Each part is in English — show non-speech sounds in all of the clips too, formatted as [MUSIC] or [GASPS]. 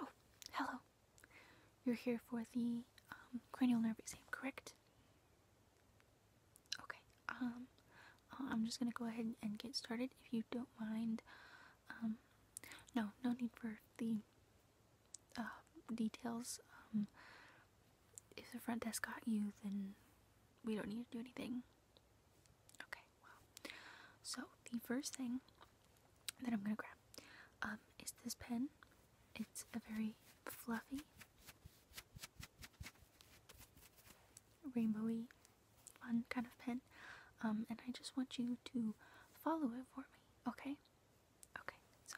Oh, hello. You're here for the um, cranial nerve exam, correct? Okay, um, uh, I'm just gonna go ahead and get started if you don't mind. Um, no, no need for the um, details. Um, if the front desk got you, then we don't need to do anything. Okay, wow. So, the first thing that I'm gonna grab um, is this pen. It's a very fluffy, rainbowy, fun kind of pen. and I just want you to follow it for me, okay? Okay, so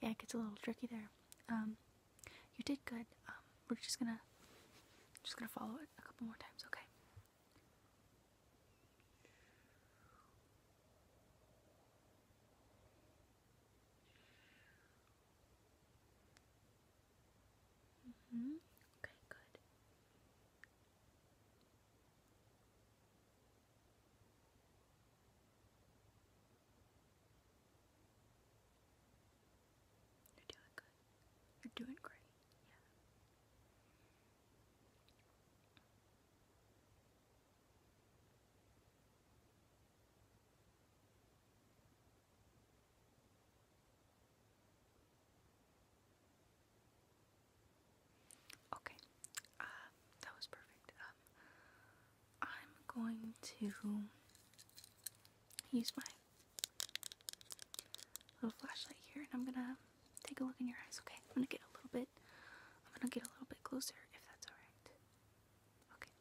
yeah, it gets a little tricky there. Um, you did good. Um, we're just gonna just gonna follow it a couple more times, okay? Mm -hmm. Okay, good. You're doing good. You're doing great. Okay, um, that was perfect. Um, I'm going to use my little flashlight here and I'm gonna take a look in your eyes, okay? I'm gonna get a little bit I'm gonna get a little bit closer if that's alright. Okay.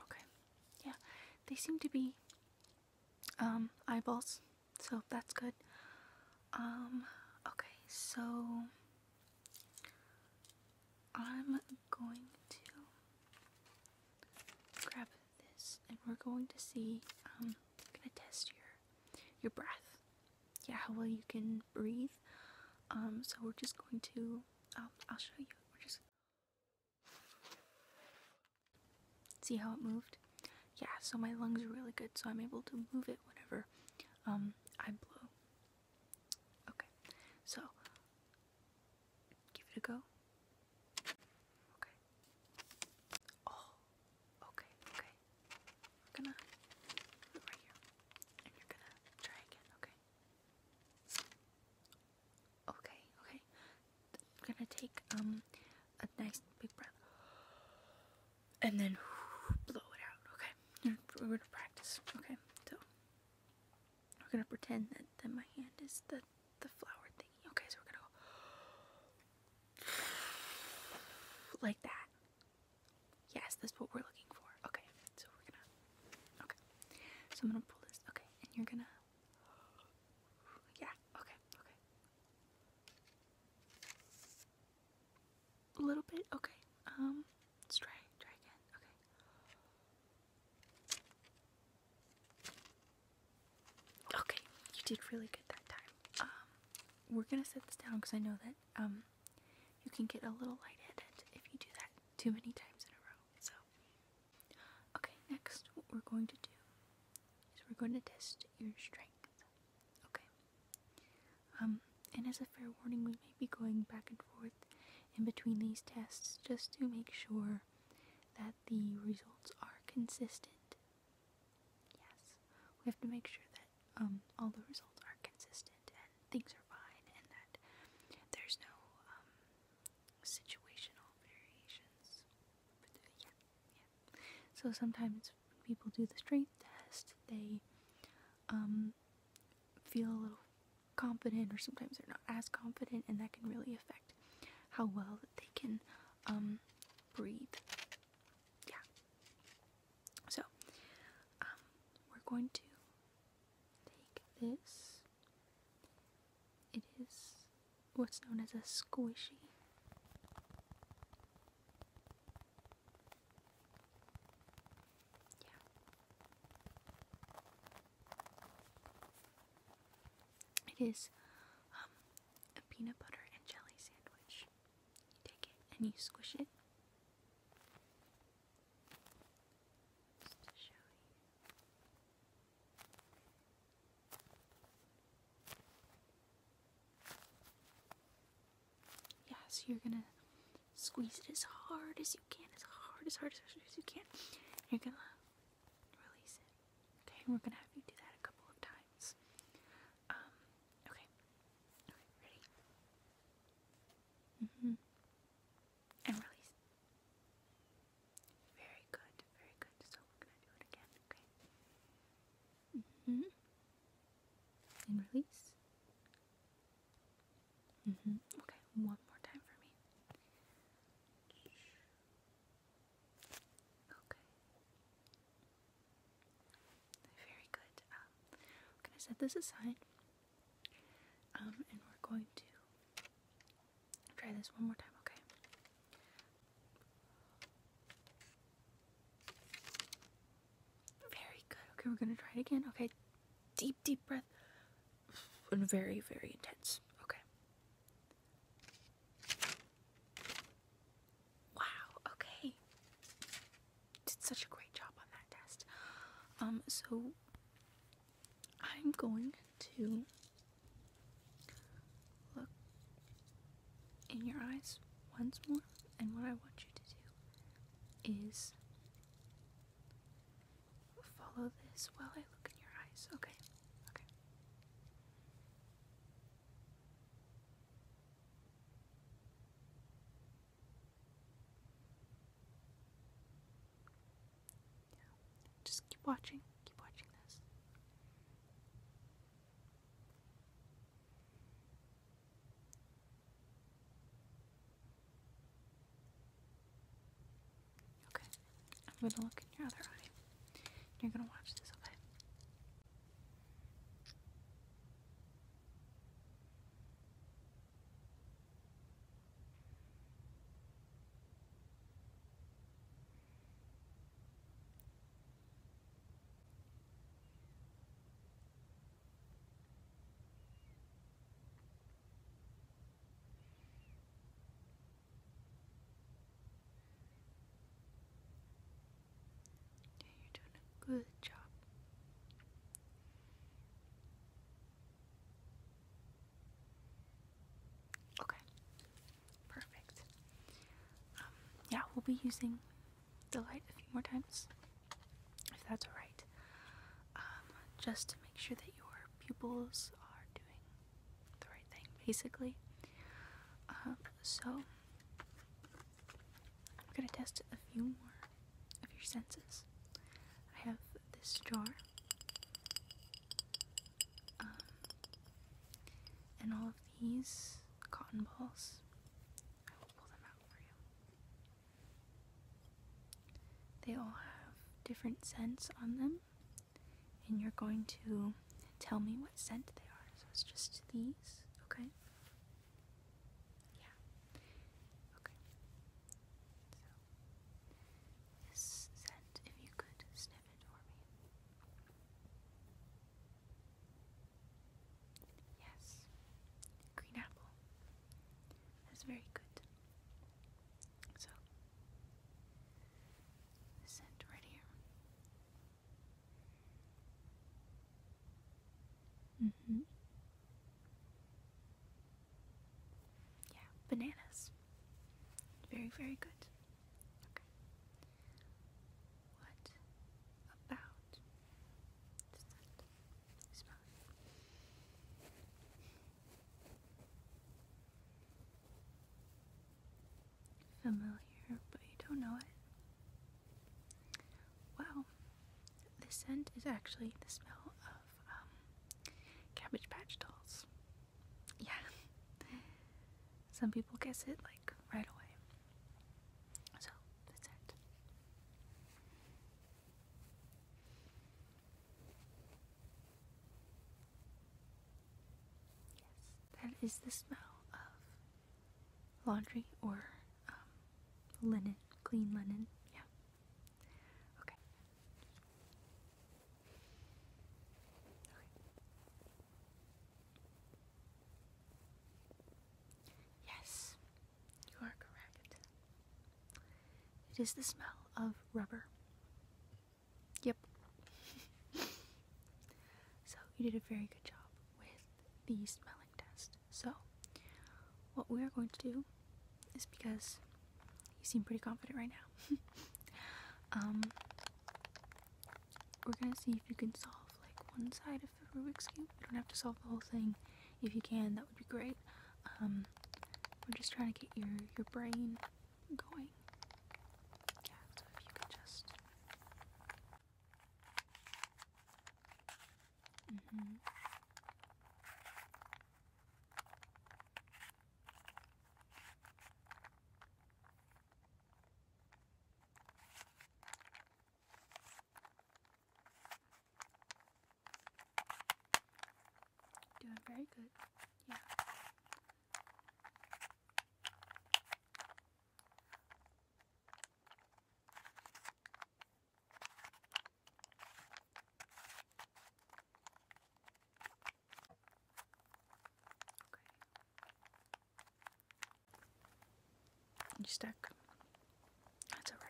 Okay. Yeah, they seem to be um, eyeballs, so that's good. Um, okay, so I'm going to grab this and we're going to see, um, I'm gonna test your, your breath. Yeah, how well you can breathe. Um, so we're just going to, um, I'll show you. We're just, see how it moved? Yeah, so my lungs are really good, so I'm able to move it whenever, um, I blow. Okay, so give it a go. Okay. Oh, okay, okay. We're gonna put right here, and you're gonna try again. Okay. Okay, okay. I'm gonna take um a nice big breath and then [SIGHS] blow it out, okay? We're gonna practice, okay? So, we're gonna pretend that, that my hand is the, the flower thingy, okay? So, we're gonna go [SIGHS] like that. Yes, that's what we're looking for, okay? So, we're gonna, okay. So, I'm gonna pull this, okay? And you're gonna, [GASPS] yeah, okay, okay. A little bit? Okay. Um, let's try. Try again. Okay. Okay, you did really good that time. Um, we're gonna set this down because I know that, um, you can get a little light-headed if you do that too many times in a row, so. Okay, next, what we're going to do is we're going to test your strength. Okay. Um, and as a fair warning, we may be going back and forth in between these tests just to make sure that the results are consistent. Yes, we have to make sure that um, all the results are consistent and things are fine and that there's no um, situational variations. Uh, so sometimes people do the strength test, they feel a little confident or sometimes they're not as confident and that can really affect how well that they can um, breathe yeah so um, we're going to take this it is what's known as a squishy it is um, a peanut butter and jelly sandwich. You take it and you squish it. Yeah, so you're gonna squeeze it as hard as you can, as hard, as hard, as hard as you can. You're gonna release it. Okay, and we're gonna have you do that a couple of times. Um, okay. Okay, ready? Mm-hmm. And release. Very good, very good. So we're gonna do it again, okay? Mm -hmm. And release. Mm -hmm. Okay, one more time for me. Okay. Very good. Um, i set this aside. Um, and we're going to try this one more time, okay? Very good. Okay, we're gonna try it again. Okay, deep, deep breath. And very, very intense. Okay. Wow, okay. Did such a great job on that test. Um, so I'm going to look in your eyes once more, and what I want you to do is follow this while I look in your eyes. Okay, okay. Just keep watching, keep watching this. Okay, I'm gonna look in your other eye. You're gonna watch this, a bit. Yeah, you're doing a good job. Okay, perfect. Um, yeah, we'll be using the light a few more times, if that's alright, um, just to make sure that your pupils are doing the right thing, basically. Um, so, I'm gonna test a few more of your senses. I have this jar, um, and all of these cotton balls. I will pull them out. They all have different scents on them, and you're going to tell me what scent they are. So it's just these, okay? Yeah. Okay. So, this scent, if you could sniff it for me. Yes, green apple. That's very good. So, scent right here. Mm-hmm. Yeah, bananas. Very, very good. What about Familiar, but you don't know it. Wow. This scent is actually the smell of um, Cabbage Patch dolls. Yeah. [LAUGHS] Some people guess it like right away. So that's it. Yes, that is the smell of laundry or um, linen, clean linen. Yeah. Okay. Okay. Yes, you are correct. It is the smell of rubber. Yep. [LAUGHS] so, you did a very good job with the smelling test. So, what we are going to do is because you seem pretty confident right now. [LAUGHS] Um, we're gonna see if you can solve like one side of the Rubik's Cube. You don't have to solve the whole thing. If you can, that would be great. Um, we're just trying to get your, your brain going. Yeah, so if you could just. hmm. Doing very good. Yeah. You stuck. That's alright.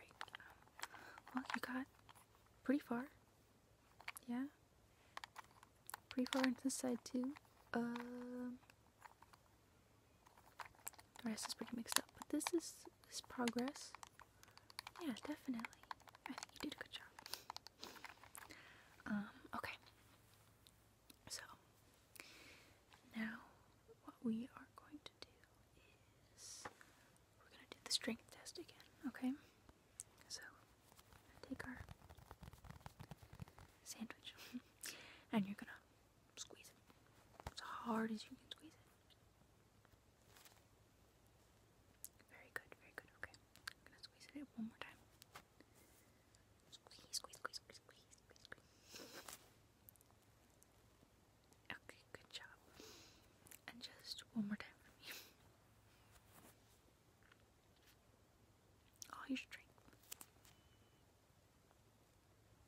well, you got pretty far. Yeah. Pretty far into the side too. Um. The rest is pretty mixed up, but this is this progress. Yeah, definitely. I think you did a good job. Um. Okay. So, now what we are going to do is we're going to do the strength test again, okay? So, take our sandwich [LAUGHS] and you're going to squeeze it as hard as you can squeeze it. Very good, very good, okay. I'm going to squeeze it one more time. Okay, good job. And just one more time for me. All your strength.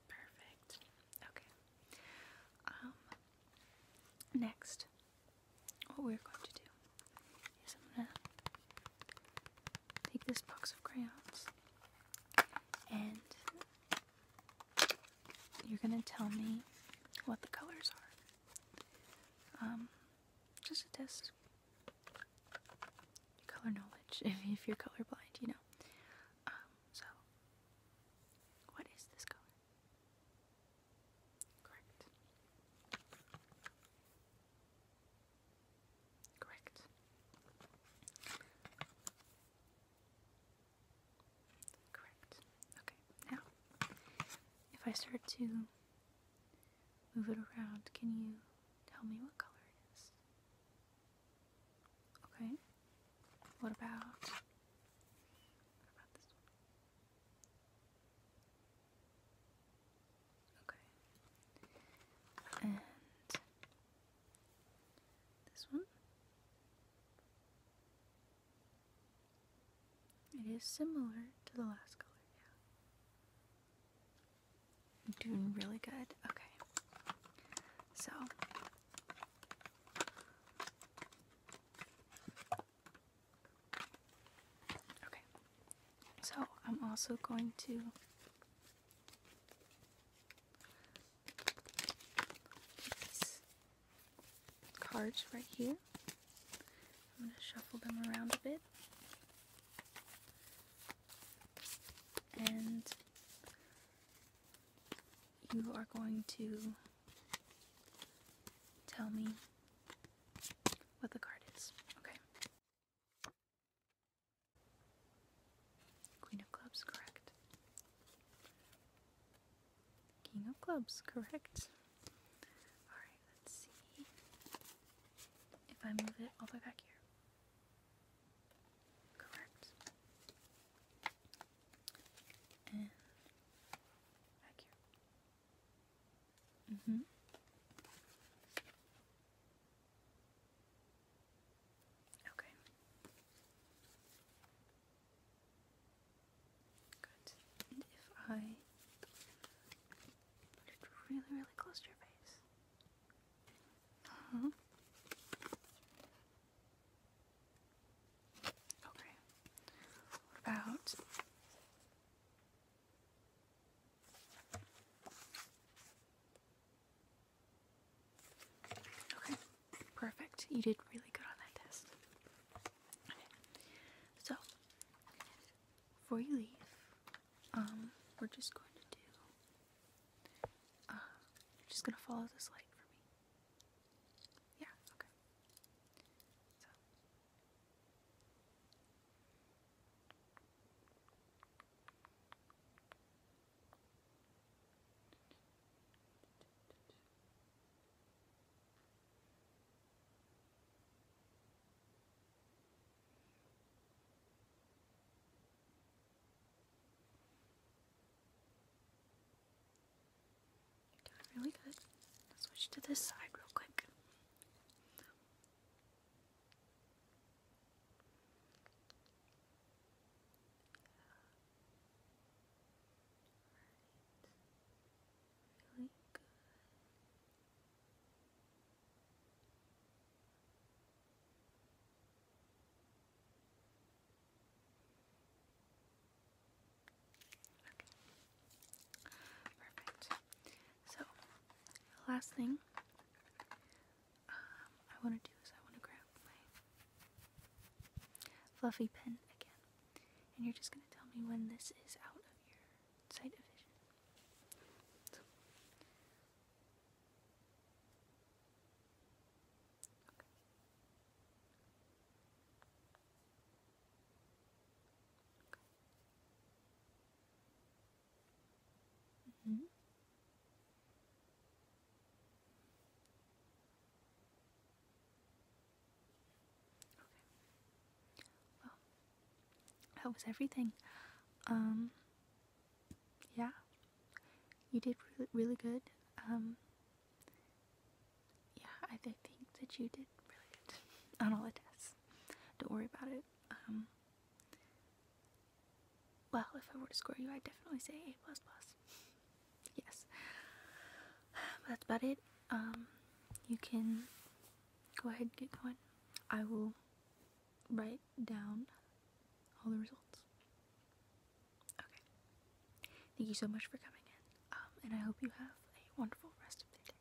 Perfect. Okay. Um next what we're going to do is I'm gonna take this box of crayons and you're gonna tell me what the colors are. Um, just a test. Color knowledge, [LAUGHS] if, you're colorblind, you know. Um, so, what is this color? Correct. Correct. Correct. Okay, now, if I start to move it around, can you tell me what color it is? Okay, what about, what about this one? Okay, and this one. It is similar to the last color, I'm doing really good. Okay. So Okay. So I'm also going to cards right here. I'm going to shuffle them around a bit. And you are going to tell me what the card is. Okay. Queen of clubs, correct. King of clubs, correct. Alright, let's see if I move it all the way back here. Correct. back here. Mm-hmm. Okay. Good. And if I put it really, really close to your face. Uh-huh. Okay. What about Okay, perfect. You did really good on that test. so before you leave, um, we're just going to do. Uh, you're just gonna follow this light for me. Yeah. Okay doing really good. switch to this side real quick. Right. Really good. Perfect. So, last thing um, I want to do is I want to grab my fluffy pen again. And you're just going to tell me when this is out of your sight of vision. Mm-hmm. that was everything. Um, yeah, you did really, really good. Um, yeah, I think that you did really good [LAUGHS] on all the tests. Don't worry about it. Um, well, if I were to score you, I'd definitely say A++. plus plus. yes. [SIGHS] that's about it. Um, you can go ahead and get going. I will write down all the results. Okay. Thank you so much for coming in. Um, and I hope you have a wonderful rest of the day.